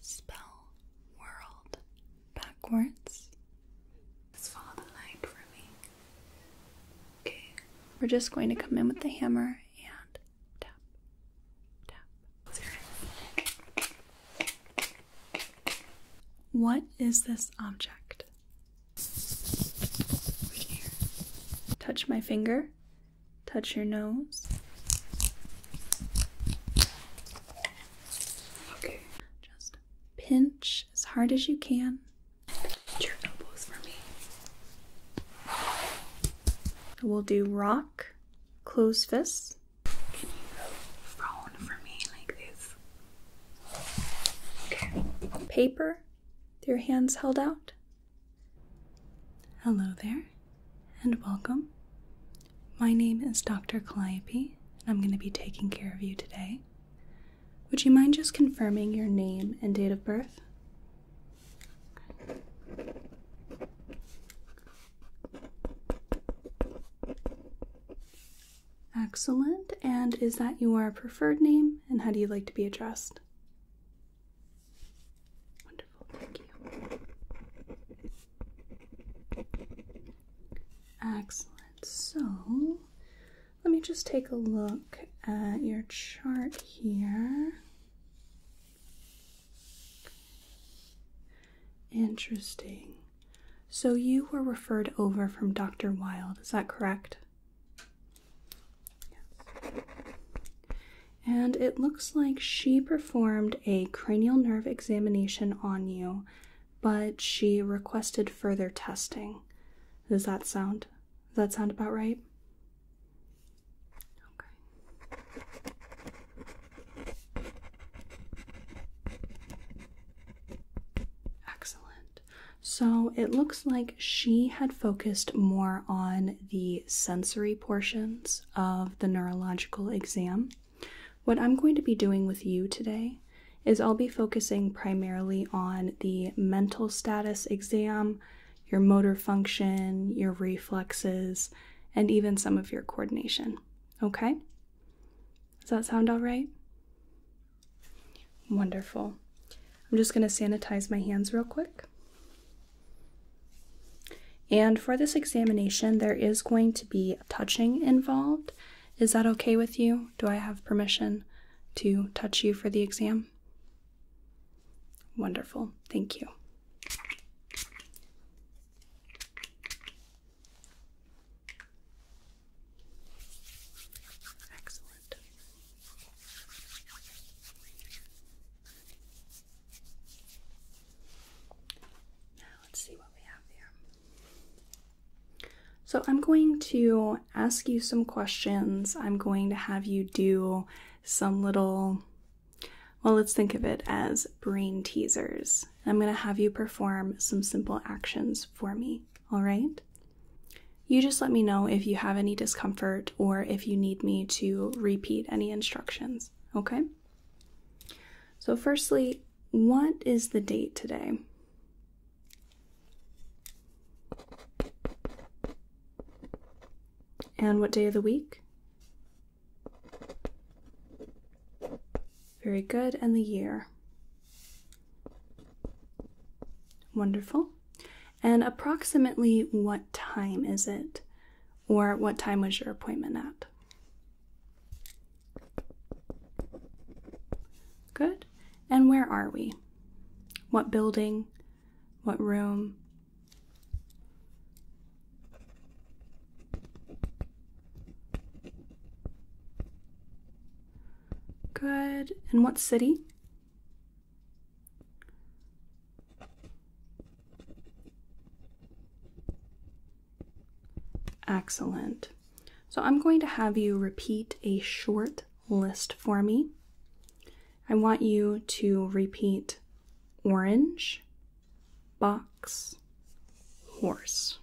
Spell world backwards. let follow the line for me. Okay, we're just going to come in with the hammer and tap, tap. What is this object? Touch my finger. Touch your nose. Okay. Just pinch as hard as you can. your elbows for me. We'll do rock, close fists. Can you phone for me like this? Okay. Paper your hands held out. Hello there and welcome. My name is Dr. Calliope, and I'm going to be taking care of you today. Would you mind just confirming your name and date of birth? Excellent. And is that your preferred name? And how do you like to be addressed? Excellent. So let me just take a look at your chart here. Interesting. So you were referred over from Dr. Wild, is that correct? Yes. And it looks like she performed a cranial nerve examination on you, but she requested further testing. Does that sound? Does that sound about right? Okay. Excellent. So it looks like she had focused more on the sensory portions of the neurological exam, what I'm going to be doing with you today is I'll be focusing primarily on the mental status exam, your motor function, your reflexes, and even some of your coordination. Okay? Does that sound all right? Wonderful. I'm just going to sanitize my hands real quick. And for this examination, there is going to be touching involved. Is that okay with you? Do I have permission to touch you for the exam? Wonderful, thank you. Excellent. Now let's see what we have here. So I'm going to ask you some questions. I'm going to have you do some little, well, let's think of it as brain teasers. I'm going to have you perform some simple actions for me, all right? You just let me know if you have any discomfort or if you need me to repeat any instructions, okay? So, firstly, what is the date today? And what day of the week? Very good. And the year? Wonderful. And approximately what time is it? Or what time was your appointment at? Good. And where are we? What building? What room? Good. And what city? Excellent. So I'm going to have you repeat a short list for me. I want you to repeat orange, box, horse.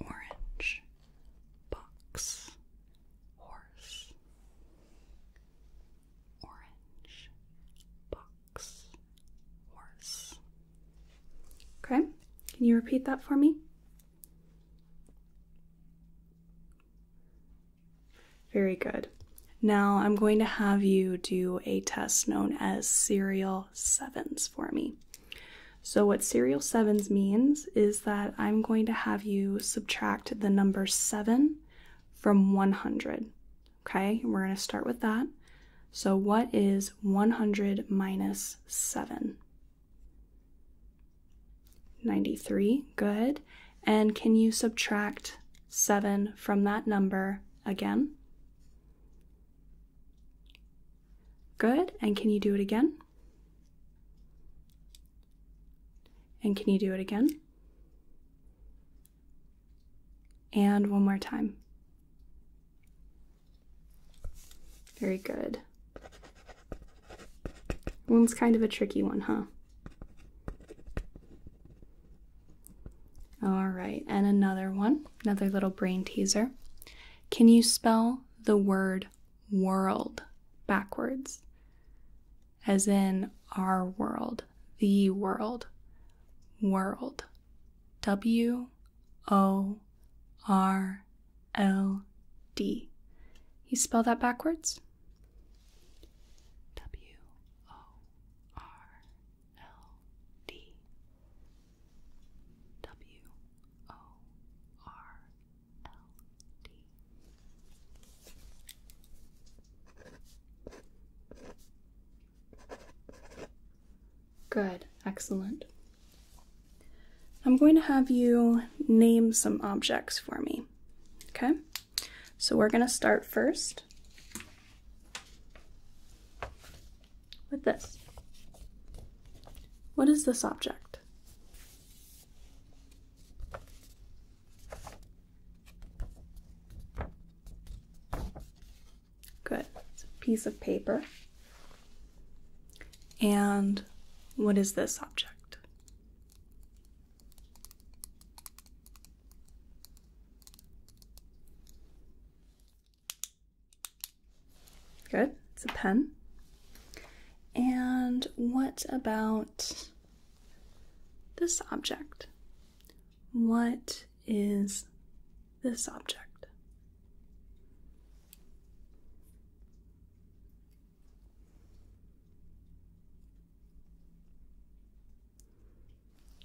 Orange, box, horse. Orange, box, worse. Okay, can you repeat that for me? Very good. Now I'm going to have you do a test known as serial sevens for me. So what serial sevens means is that I'm going to have you subtract the number seven from 100. Okay, we're going to start with that. So, what is 100 minus 7? 93, good. And can you subtract 7 from that number again? Good. And can you do it again? And can you do it again? And one more time. Very good. One's kind of a tricky one, huh? All right, and another one, another little brain teaser. Can you spell the word world backwards? As in our world, the world, world. W O R L D. You spell that backwards? W O R L D. W O R L D. Good, excellent. I'm going to have you name some objects for me. Okay? So we're going to start first with this. What is this object? Good. It's a piece of paper. And what is this object? Good. It's a pen. And what about this object? What is this object?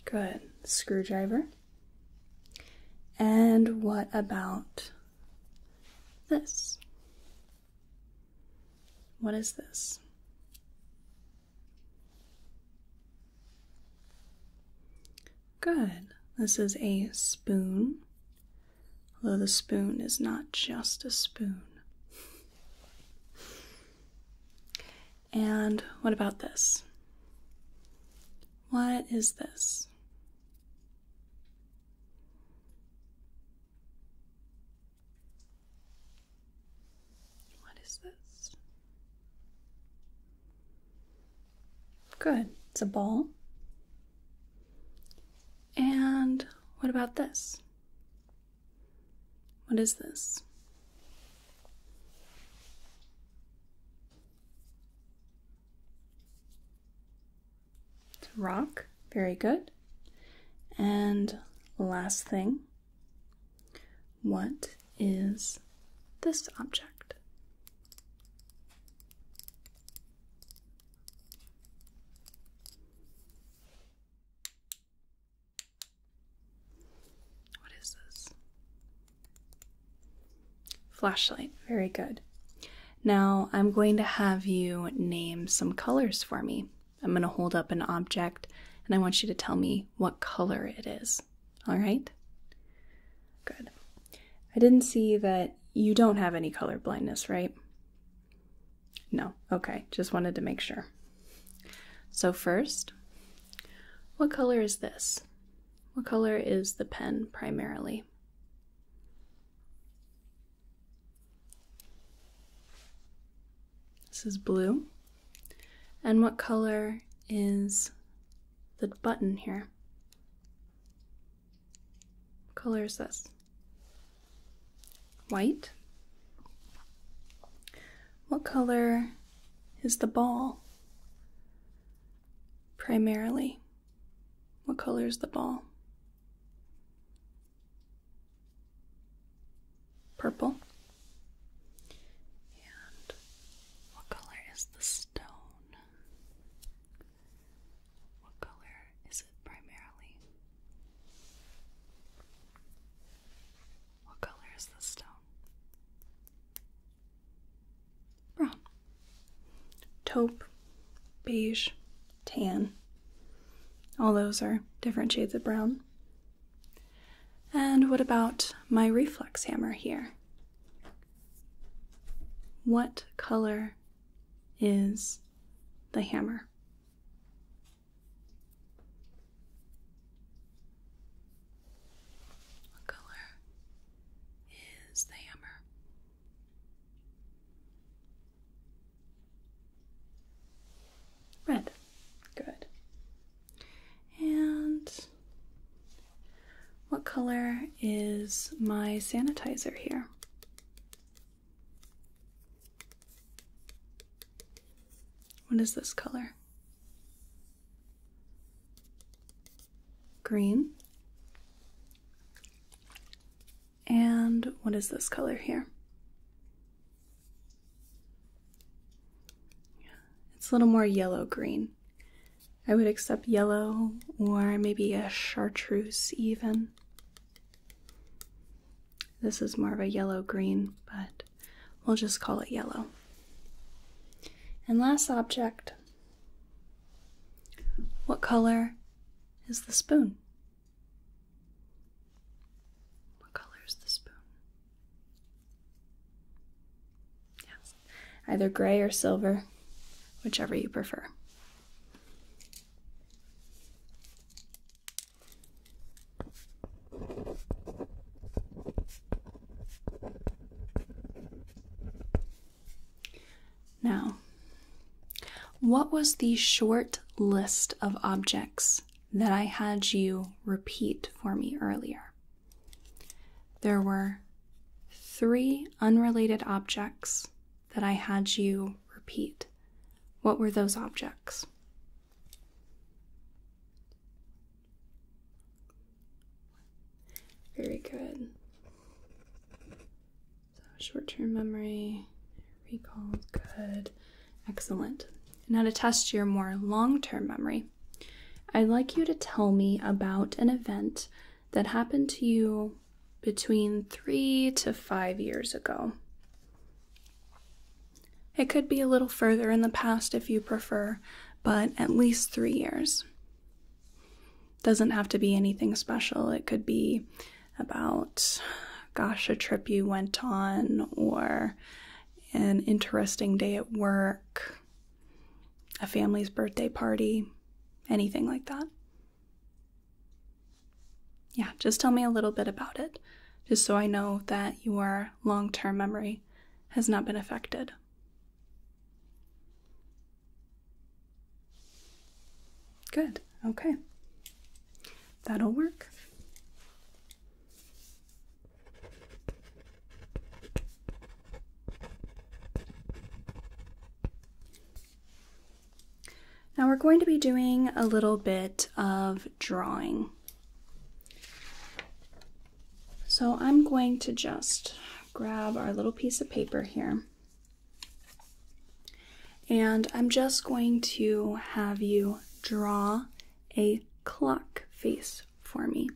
Good. Screwdriver. And what about this? What is this? Good. This is a spoon, although the spoon is not just a spoon. And what about this? What is this? What is this? Good. It's a ball. And what about this? What is this? It's a rock. Very good. And last thing, what is this object. What is this? Flashlight. Very good. Now I'm going to have you name some colors for me. I'm going to hold up an object and I want you to tell me what color it is. All right? Good. I didn't see that you don't have any color blindness, right? No. Okay. Just wanted to make sure. So, first, what color is this? What color is the pen primarily? This is blue. And what color is the button here. color is this? White. What color is the ball? Primarily. What color is the ball? Purple. And what color is the stone? brown. What color is it primarily? What color is the stone? Brown. Taupe, beige, tan. All those are different shades of brown. And what about my reflex hammer here? What color is the hammer? What color is the hammer? Red. Good. And what color is my sanitizer here? What is this color? Green. And what is this color here? It's a little more yellow green. I would accept yellow or maybe a chartreuse, even. This is more of a yellow green, but we'll just call it yellow. And last object what color is the spoon? What color is the spoon? Yes either gray or silver, whichever you prefer. Now, what was the short list of objects that I had you repeat for me earlier? There were three unrelated objects that I had you repeat. What were those objects? Very good. So short term memory, recall, good, excellent. Now to test your more long term memory, I'd like you to tell me about an event that happened to you between three to five years ago. It could be a little further in the past if you prefer, but at least three years. Doesn't have to be anything special. It could be about, gosh, a trip you went on or an interesting day at work, a family's birthday party, anything like that. Yeah, just tell me a little bit about it, just so I know that your long term memory has not been affected. Good, okay. That'll work. Now we're going to be doing a little bit of drawing. So I'm going to just grab our little piece of paper here. And I'm just going to have you draw a clock face for me.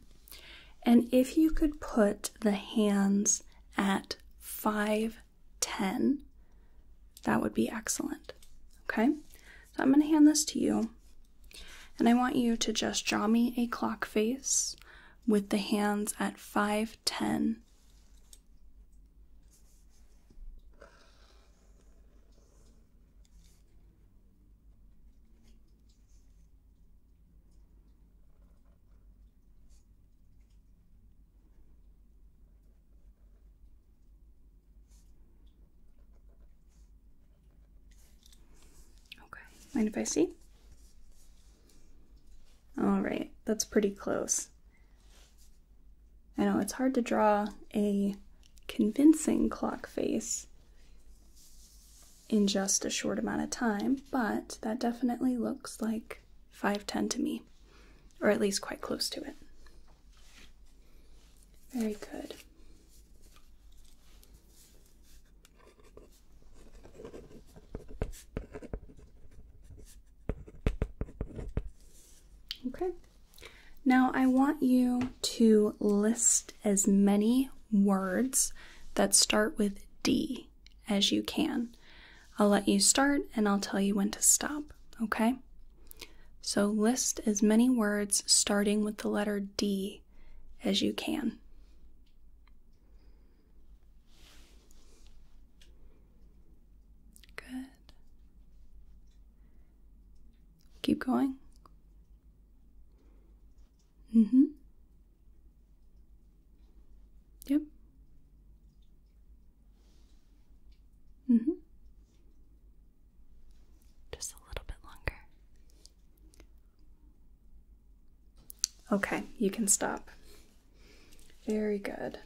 And if you could put the hands at 510, that would be excellent. Okay? So I'm going to hand this to you. And I want you to just draw me a clock face with the hands at 510. Okay, mind if I see? All right, that's pretty close. I know it's hard to draw a convincing clock face in just a short amount of time, but that definitely looks like 510 to me, or at least quite close to it. Very good. Okay. Now I want you to list as many words that start with D as you can. I'll let you start and I'll tell you when to stop, okay? So list as many words starting with the letter D as you can. Good. Keep going. Mm-hmm. Yep. Mm-hmm. Just a little bit longer. Okay, you can stop. Very good.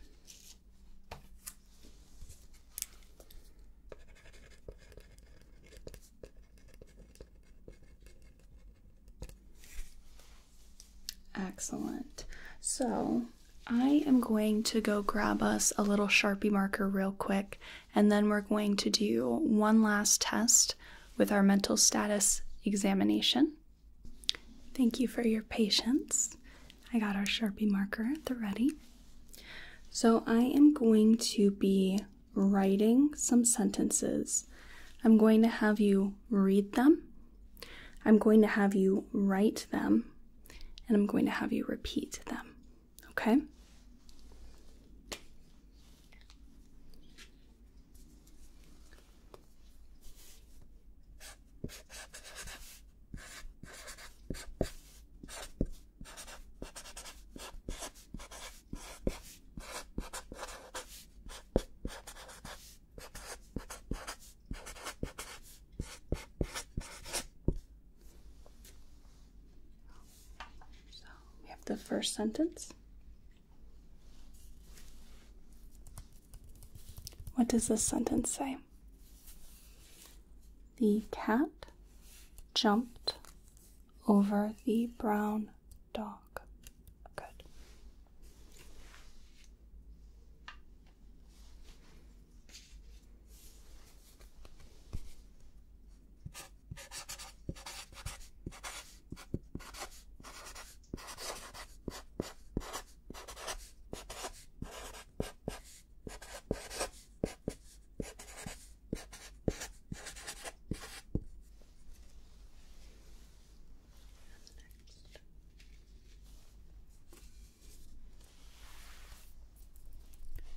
Excellent. So I am going to go grab us a little Sharpie marker real quick, and then we're going to do one last test with our mental status examination. Thank you for your patience. I got our Sharpie marker the ready. So I am going to be writing some sentences. I'm going to have you read them, I'm going to have you write them, and I'm going to have you repeat them. Okay? So we have the first sentence. What does this sentence say? The cat jumped over the brown dog. Good.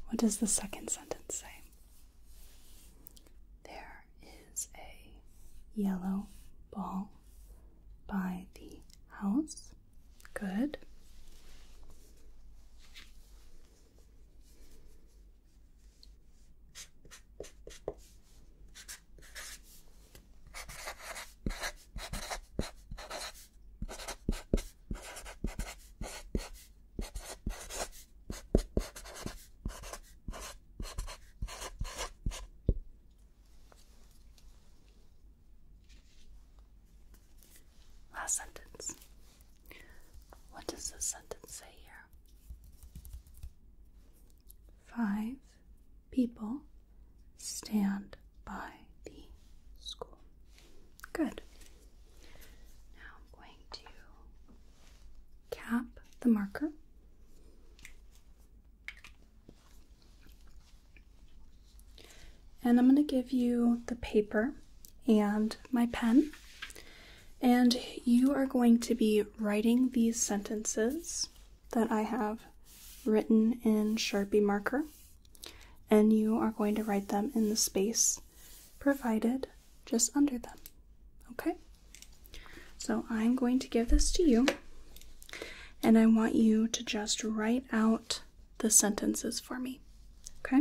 What does the second sentence say? There is a yellow ball by the house. Good. Last sentence. What does this sentence say here? Five people stand by the school. Good. Now I'm going to cap the marker. And I'm going to give you the paper and my pen. And you are going to be writing these sentences that I have written in Sharpie marker, and you are going to write them in the space provided just under them. Okay? So I'm going to give this to you, and I want you to just write out the sentences for me. Okay?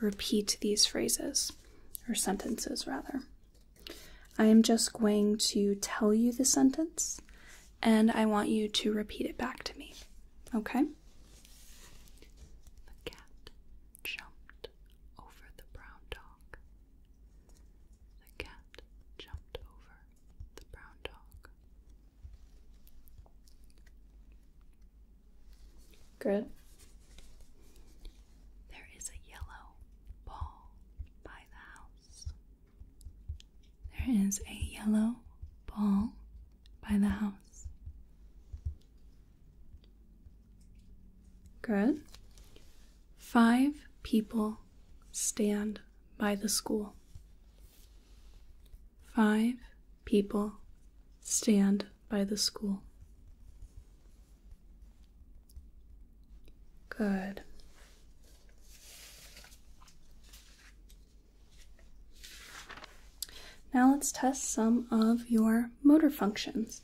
repeat these phrases, or sentences rather. I am just going to tell you the sentence and I want you to repeat it back to me, okay? The cat jumped over the brown dog. The cat jumped over the brown dog. Good. There is a yellow ball by the house. There is a yellow ball by the house. Good. Five people stand by the school. Five people stand by the school. Good. Now let's test some of your motor functions.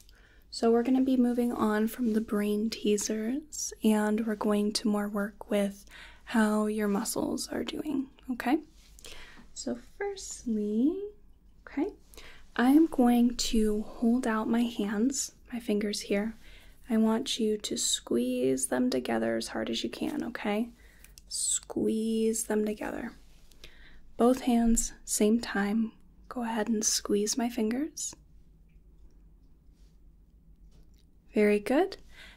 So we're going to be moving on from the brain teasers and we're going to more work with how your muscles are doing, okay? So firstly, Okay, I am going to hold out my hands, my fingers here. I want you to squeeze them together as hard as you can, okay? Squeeze them together. Both hands, same time. Go ahead and squeeze my fingers. Very good.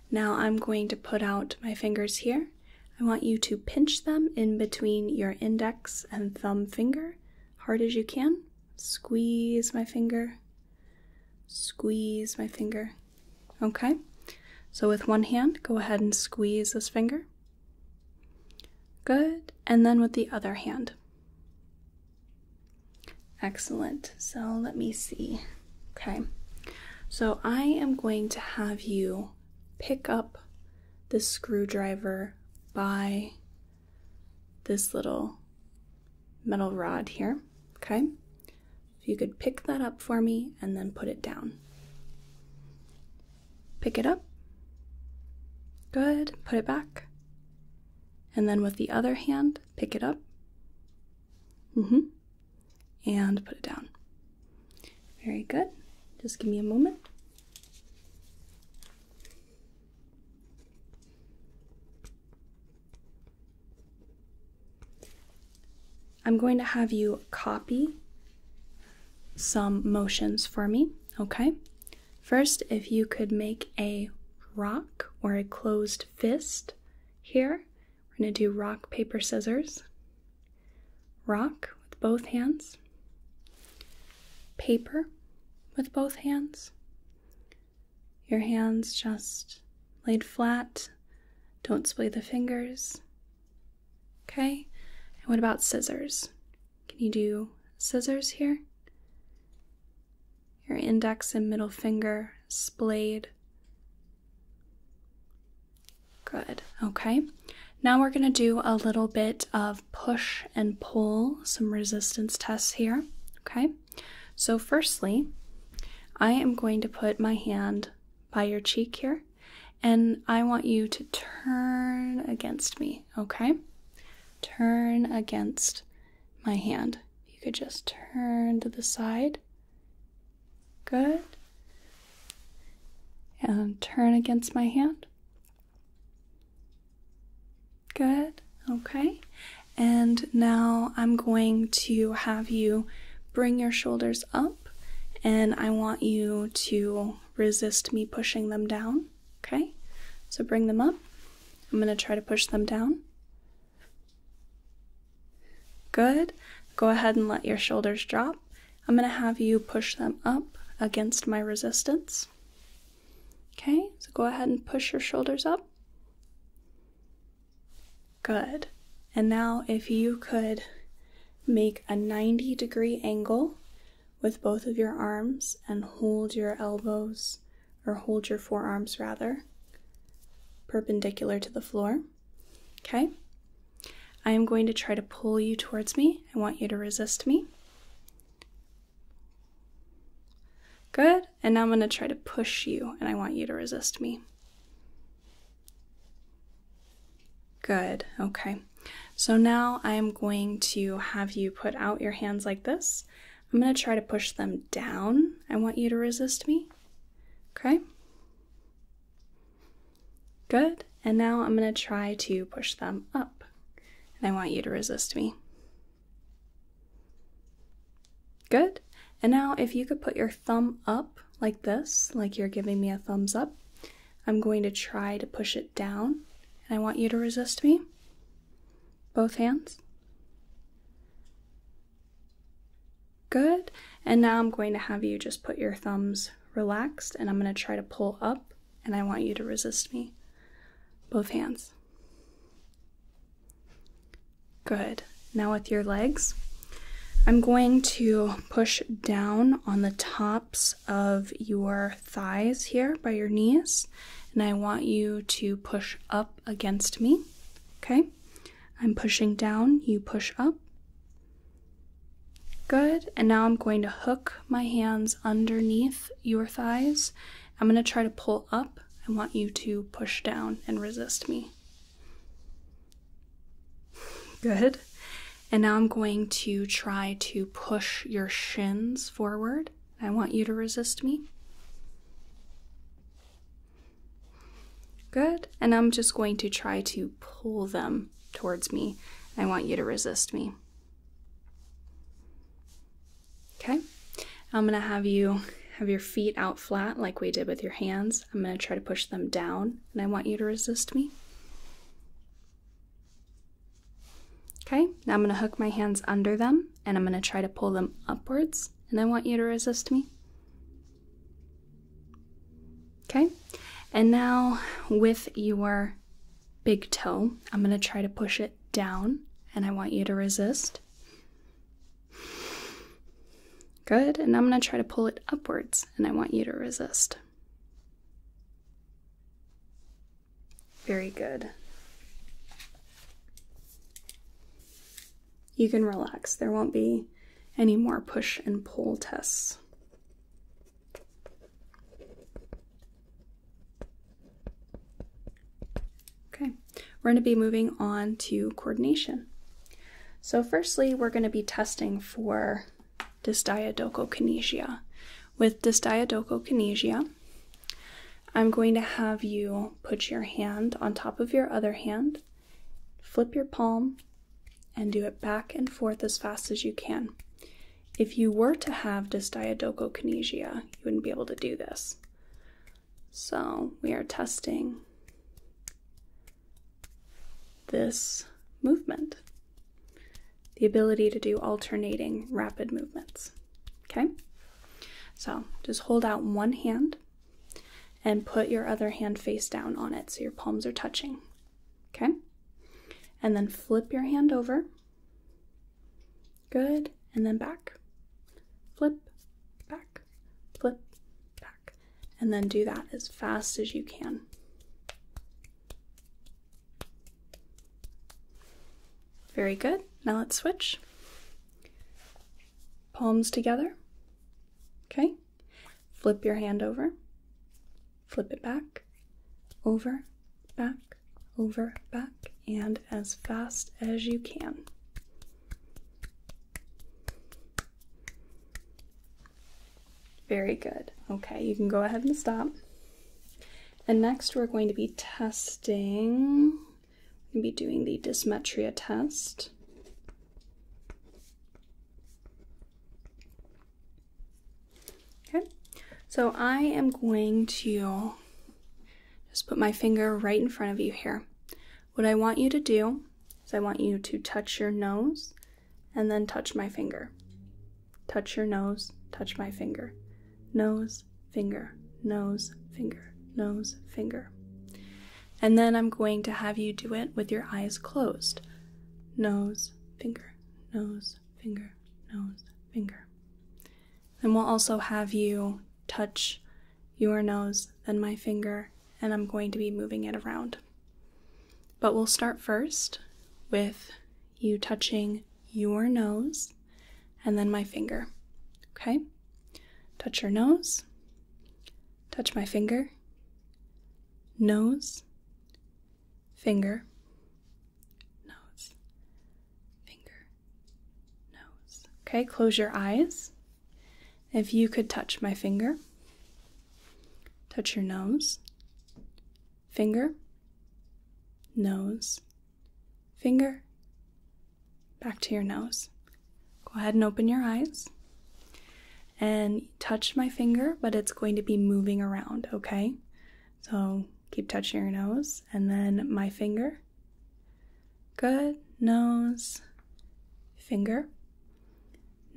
Now I'm going to put out my fingers here. I want you to pinch them in between your index and thumb finger hard as you can. Squeeze my finger. Squeeze my finger. Okay? So with one hand, go ahead and squeeze this finger. Good. And then with the other hand. Excellent. So let me see. Okay. So I am going to have you pick up this screwdriver by this little metal rod here, okay? If you could pick that up for me and then put it down. Pick it up. Good. Put it back. And then with the other hand, pick it up. hmm. And put it down. Very good. Just give me a moment. I'm going to have you copy some motions for me, okay? First, if you could make a rock or a closed fist here, we're going to do rock, paper, scissors rock with both hands, paper with both hands. Your hands just laid flat, don't splay the fingers. Okay, and what about scissors? Can you do scissors here? Your index and middle finger splayed. Good, okay. Now we're gonna do a little bit of push and pull some resistance tests here. Okay, so firstly, I am going to put my hand by your cheek here and I want you to turn against me. Okay, turn against my hand. You could just turn to the side. Good. And turn against my hand. Good, okay. And now I'm going to have you bring your shoulders up, and I want you to resist me pushing them down, okay? So bring them up. I'm going to try to push them down. Good. Go ahead and let your shoulders drop. I'm going to have you push them up against my resistance. Okay, so go ahead and push your shoulders up. Good. And now, if you could make a 90 degree angle with both of your arms and hold your elbows, or hold your forearms rather, perpendicular to the floor. Okay? I am going to try to pull you towards me. I want you to resist me. Good. And now I'm going to try to push you, and I want you to resist me. Good. Okay. So now I'm going to have you put out your hands like this. I'm going to try to push them down. I want you to resist me. Okay. Good. And now I'm going to try to push them up. And I want you to resist me. Good. And now if you could put your thumb up like this, like you're giving me a thumbs up, I'm going to try to push it down. And I want you to resist me. Both hands. Good. And now I'm going to have you just put your thumbs relaxed and I'm going to try to pull up and I want you to resist me. Both hands. Good. Now, with your legs, I'm going to push down on the tops of your thighs here by your knees, and I want you to push up against me. Okay? I'm pushing down, you push up. Good. And now I'm going to hook my hands underneath your thighs. I'm going to try to pull up. I want you to push down and resist me. Good. And now I'm going to try to push your shins forward. I want you to resist me. Good. And I'm just going to try to pull them towards me. I want you to resist me. Okay, I'm gonna have you have your feet out flat like we did with your hands. I'm gonna try to push them down and I want you to resist me. Okay, now I'm gonna hook my hands under them and I'm gonna try to pull them upwards and I want you to resist me. Okay, and now with your big toe. I'm going to try to push it down and I want you to resist. Good. And I'm going to try to pull it upwards and I want you to resist. Very good. You can relax. There won't be any more push and pull tests. Okay, we're going to be moving on to coordination. So firstly, we're going to be testing for dysdiadochokinesia. With dysdiadochokinesia, I'm going to have you put your hand on top of your other hand, flip your palm, and do it back and forth as fast as you can. If you were to have dysdiadochokinesia, you wouldn't be able to do this. So we are testing this movement, the ability to do alternating rapid movements. Okay? So just hold out one hand and put your other hand face down on it so your palms are touching. Okay? And then flip your hand over Good, and then back. Flip, back, flip, back. And then do that as fast as you can. Very good. Now let's switch. Palms together. Okay. Flip your hand over. Flip it back. Over, back, over, back, and as fast as you can. Very good. Okay, you can go ahead and stop. And next, we're going to be testing, we'll be doing the dysmetria test. Okay, so I am going to just put my finger right in front of you here. What I want you to do is I want you to touch your nose and then touch my finger. Touch your nose, touch my finger. Nose, finger, nose, finger, nose, finger. And then I'm going to have you do it with your eyes closed. Nose, finger, nose, finger, nose, finger. Then we'll also have you touch your nose, then my finger, and I'm going to be moving it around. But we'll start first with you touching your nose and then my finger. Okay? Touch your nose, touch my finger, nose, finger, nose, finger, nose. Okay, close your eyes. If you could touch my finger, touch your nose, finger, nose, finger, back to your nose. Go ahead and open your eyes and touch my finger, but it's going to be moving around, okay? So keep touching your nose and then my finger. Good. Nose. Finger.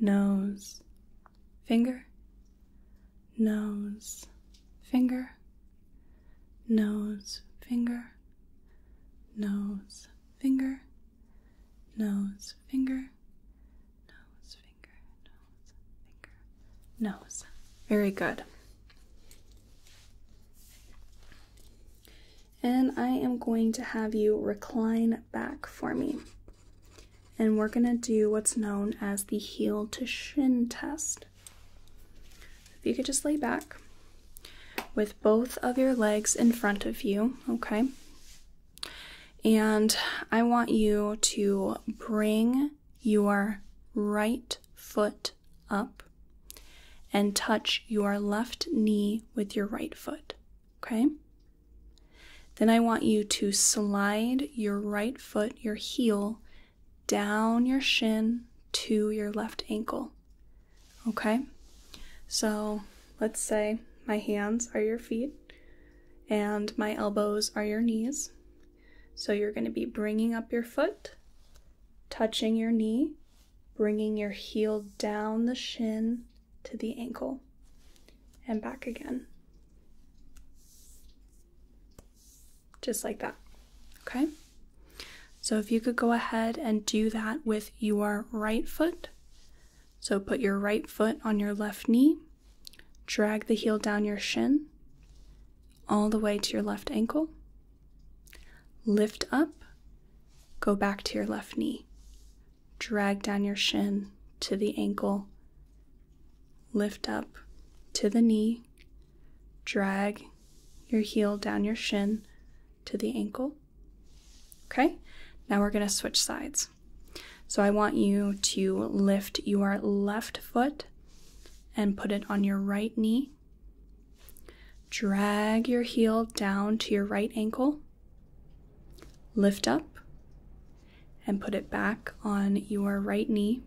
Nose. Finger. Nose. Finger. Nose. Finger. Nose. Finger. Nose. Finger. Nose. Finger. Nose finger, nose. Very good. And I am going to have you recline back for me. And we're going to do what's known as the heel to shin test. If you could just lay back with both of your legs in front of you, okay? And I want you to bring your right foot up and touch your left knee with your right foot. Okay? Then I want you to slide your right foot, your heel, down your shin to your left ankle. Okay? So let's say my hands are your feet and my elbows are your knees. So you're going to be bringing up your foot, touching your knee, bringing your heel down the shin to the ankle, and back again. Just like that. Okay? So if you could go ahead and do that with your right foot. So put your right foot on your left knee, drag the heel down your shin, all the way to your left ankle. Lift up, go back to your left knee. Drag down your shin to the ankle. Lift up to the knee. Drag your heel down your shin to the ankle. Okay, now we're going to switch sides. So I want you to lift your left foot and put it on your right knee. Drag your heel down to your right ankle. Lift up and put it back on your right knee.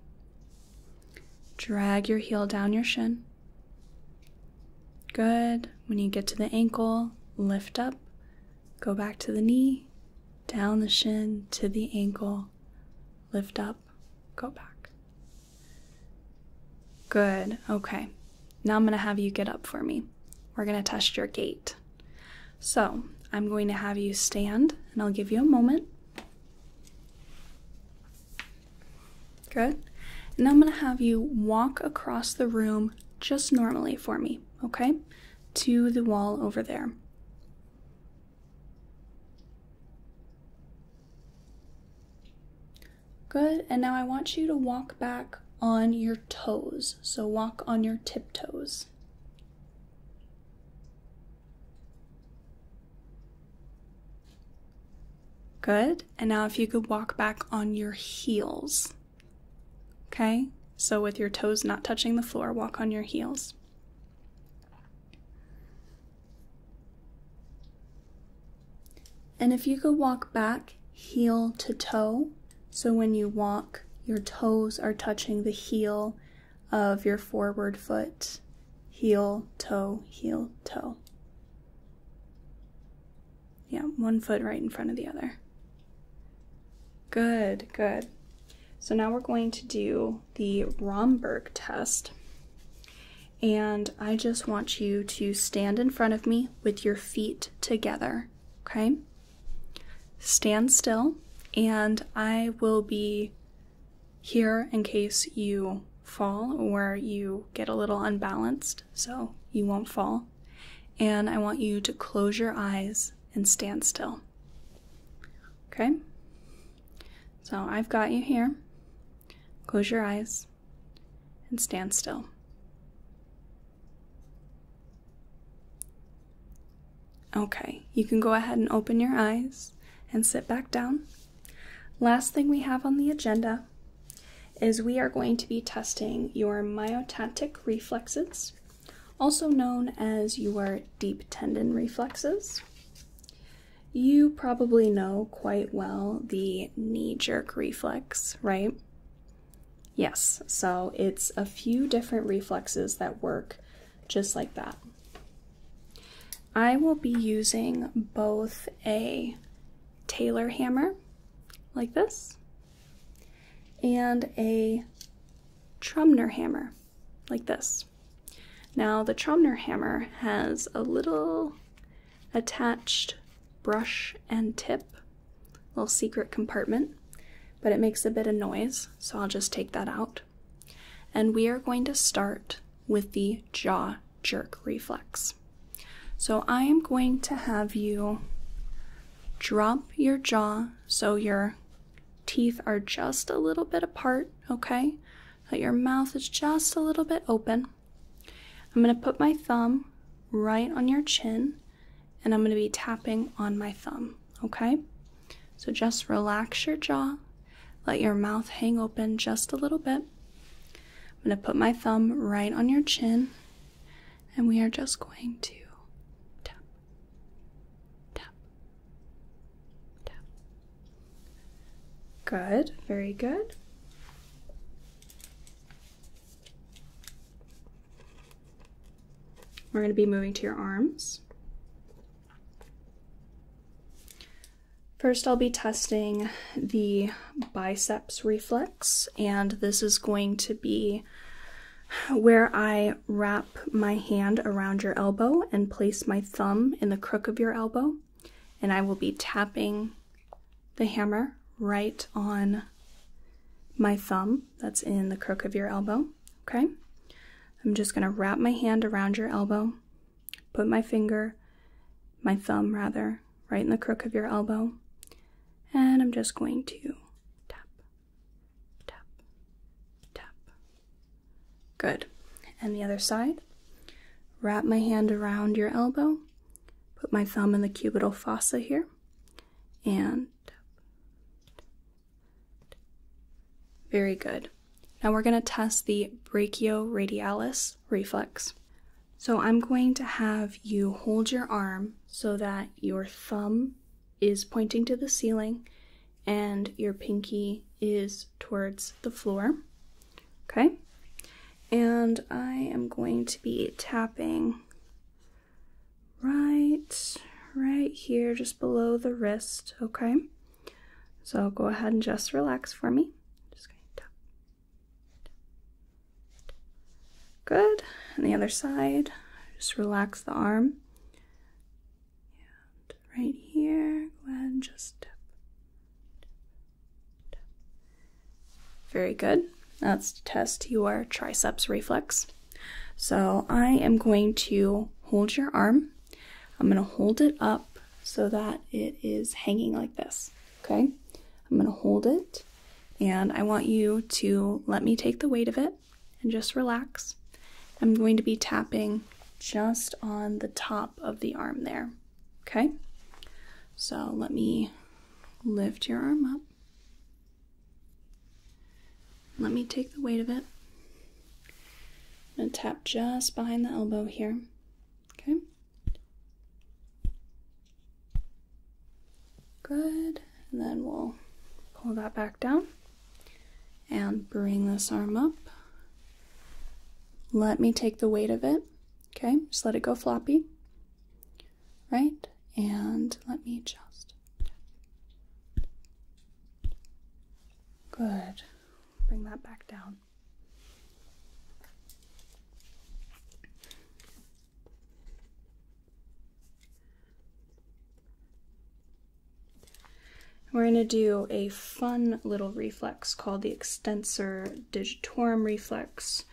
Drag your heel down your shin. Good. When you get to the ankle, lift up, go back to the knee, down the shin to the ankle, lift up go back. Good. Okay. Now I'm going to have you get up for me. We're going to test your gait. So I'm going to have you stand and I'll give you a moment. Good. And I'm going to have you walk across the room just normally for me, okay? To the wall over there. Good, and now I want you to walk back on your toes. So walk on your tiptoes. Good, and now if you could walk back on your heels. Okay, so with your toes not touching the floor, walk on your heels. And if you could walk back heel to toe, so when you walk, your toes are touching the heel of your forward foot. Heel, toe, heel, toe. Yeah, one foot right in front of the other. Good, good. So now we're going to do the Romberg test. And I just want you to stand in front of me with your feet together, okay? Stand still, and I will be here in case you fall or you get a little unbalanced so you won't fall. And I want you to close your eyes and stand still. Okay? So I've got you here. Close your eyes and stand still. Okay, you can go ahead and open your eyes and sit back down. Last thing we have on the agenda is we are going to be testing your myotactic reflexes, also known as your deep tendon reflexes you probably know quite well the knee jerk reflex, right? Yes, so it's a few different reflexes that work just like that. I will be using both a Taylor hammer, like this, and a Trumner hammer, like this. Now, the Tromner hammer has a little attached brush and tip, little secret compartment, but it makes a bit of noise, so I'll just take that out. And we are going to start with the jaw jerk reflex. So I am going to have you drop your jaw so your teeth are just a little bit apart, okay? that your mouth is just a little bit open. I'm going to put my thumb right on your chin and I'm going to be tapping on my thumb, okay? So just relax your jaw, let your mouth hang open just a little bit. I'm going to put my thumb right on your chin and we are just going to tap, tap, tap, Good, very good. We're going to be moving to your arms. First, I'll be testing the biceps reflex, and this is going to be where I wrap my hand around your elbow and place my thumb in the crook of your elbow and I will be tapping the hammer right on my thumb that's in the crook of your elbow. Okay, I'm just going to wrap my hand around your elbow, put my finger, my thumb rather, right in the crook of your elbow, and I'm just going to tap, tap, tap, Good. And the other side. Wrap my hand around your elbow. Put my thumb in the cubital fossa here. And very good. Now we're going to test the brachioradialis reflex. So I'm going to have you hold your arm so that your thumb is pointing to the ceiling and your pinky is towards the floor. Okay, and I am going to be tapping right right here just below the wrist okay so go ahead and just relax for me just going to tap, tap. good and the other side just relax the arm and right here go ahead and just tap, very good. Let's test your triceps reflex. So I am going to hold your arm. I'm going to hold it up so that it is hanging like this. Okay? I'm going to hold it and I want you to let me take the weight of it and just relax. I'm going to be tapping just on the top of the arm there. Okay? So let me lift your arm up. Let me take the weight of it. I'm going to tap just behind the elbow here. Okay? Good. And then we'll pull that back down and bring this arm up let me take the weight of it. Okay, just let it go floppy. Right? And let me just. Good. Bring that back down. We're going to do a fun little reflex called the extensor digitorum reflex.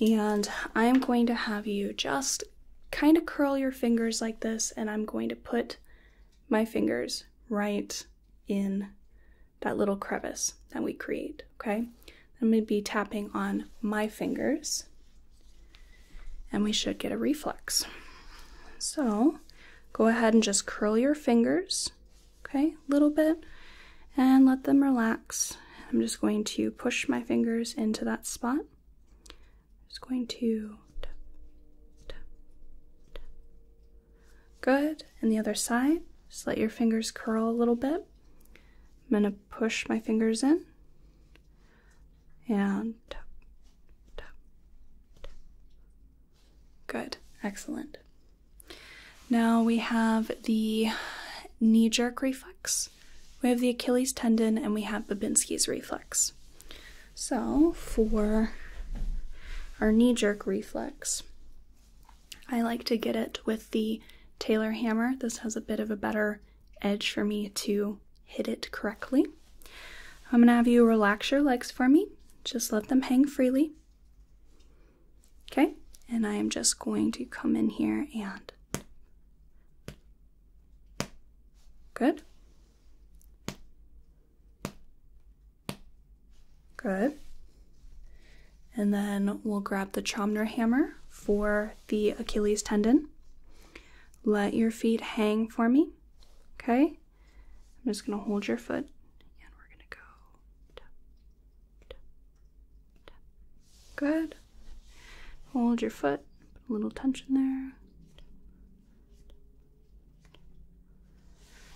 And I'm going to have you just kind of curl your fingers like this, and I'm going to put my fingers right in that little crevice that we create, okay? I'm going to be tapping on my fingers, and we should get a reflex. So go ahead and just curl your fingers okay? A little bit and let them relax. I'm just going to push my fingers into that spot. just going to tap, tap, tap. Good. And the other side, just let your fingers curl a little bit. I'm going to push my fingers in and tap, tap, tap. Good. Excellent. Now we have the knee jerk reflex, we have the Achilles tendon, and we have Babinski's reflex. So for our knee jerk reflex, I like to get it with the Taylor hammer. This has a bit of a better edge for me to hit it correctly. I'm going to have you relax your legs for me. Just let them hang freely. Okay, and I am just going to come in here and. Good. Good. And then we'll grab the Chomner hammer for the Achilles tendon. Let your feet hang for me. Okay? I'm just going to hold your foot and we're going to go Good. Hold your foot. Put a little tension there.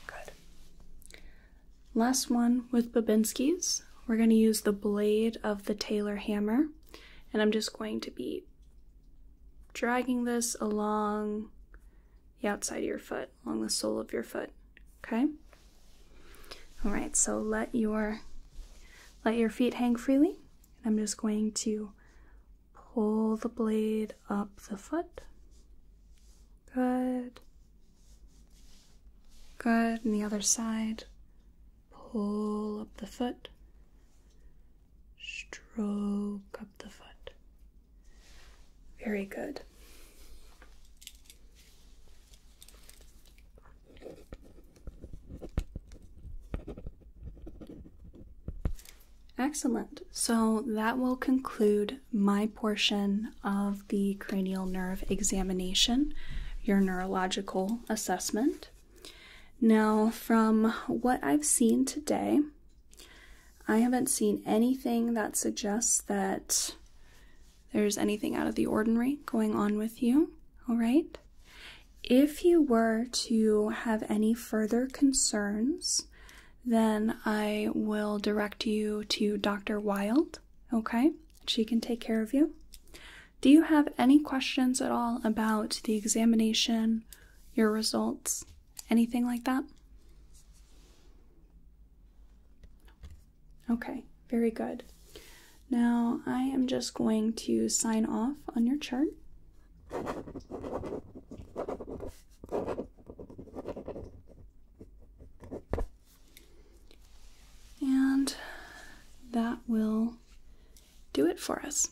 Good. Last one with Babinski's. We're going to use the blade of the Taylor hammer, and I'm just going to be dragging this along the outside of your foot, along the sole of your foot. Okay? All right, so let your let your feet hang freely. And I'm just going to pull the blade up the foot. Good. Good. And the other side. Pull up the foot. Stroke up the foot. Very good. Excellent. So that will conclude my portion of the cranial nerve examination, your neurological assessment. Now, from what I've seen today, I haven't seen anything that suggests that there's anything out of the ordinary going on with you, all right? If you were to have any further concerns, then I will direct you to Dr. Wild, okay? She can take care of you. Do you have any questions at all about the examination, your results, anything like that? Okay, very good. Now I am just going to sign off on your chart. And that will do it for us.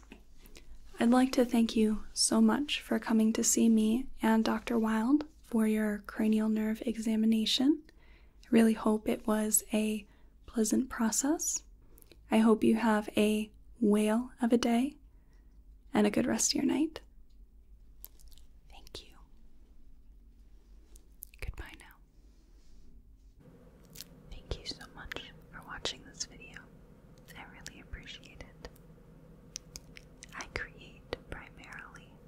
I'd like to thank you so much for coming to see me and Dr. Wild for your cranial nerve examination. I really hope it was a pleasant process. I hope you have a whale of a day and a good rest of your night. Thank you. Goodbye now. Thank you so much for watching this video. I really appreciate it. I create primarily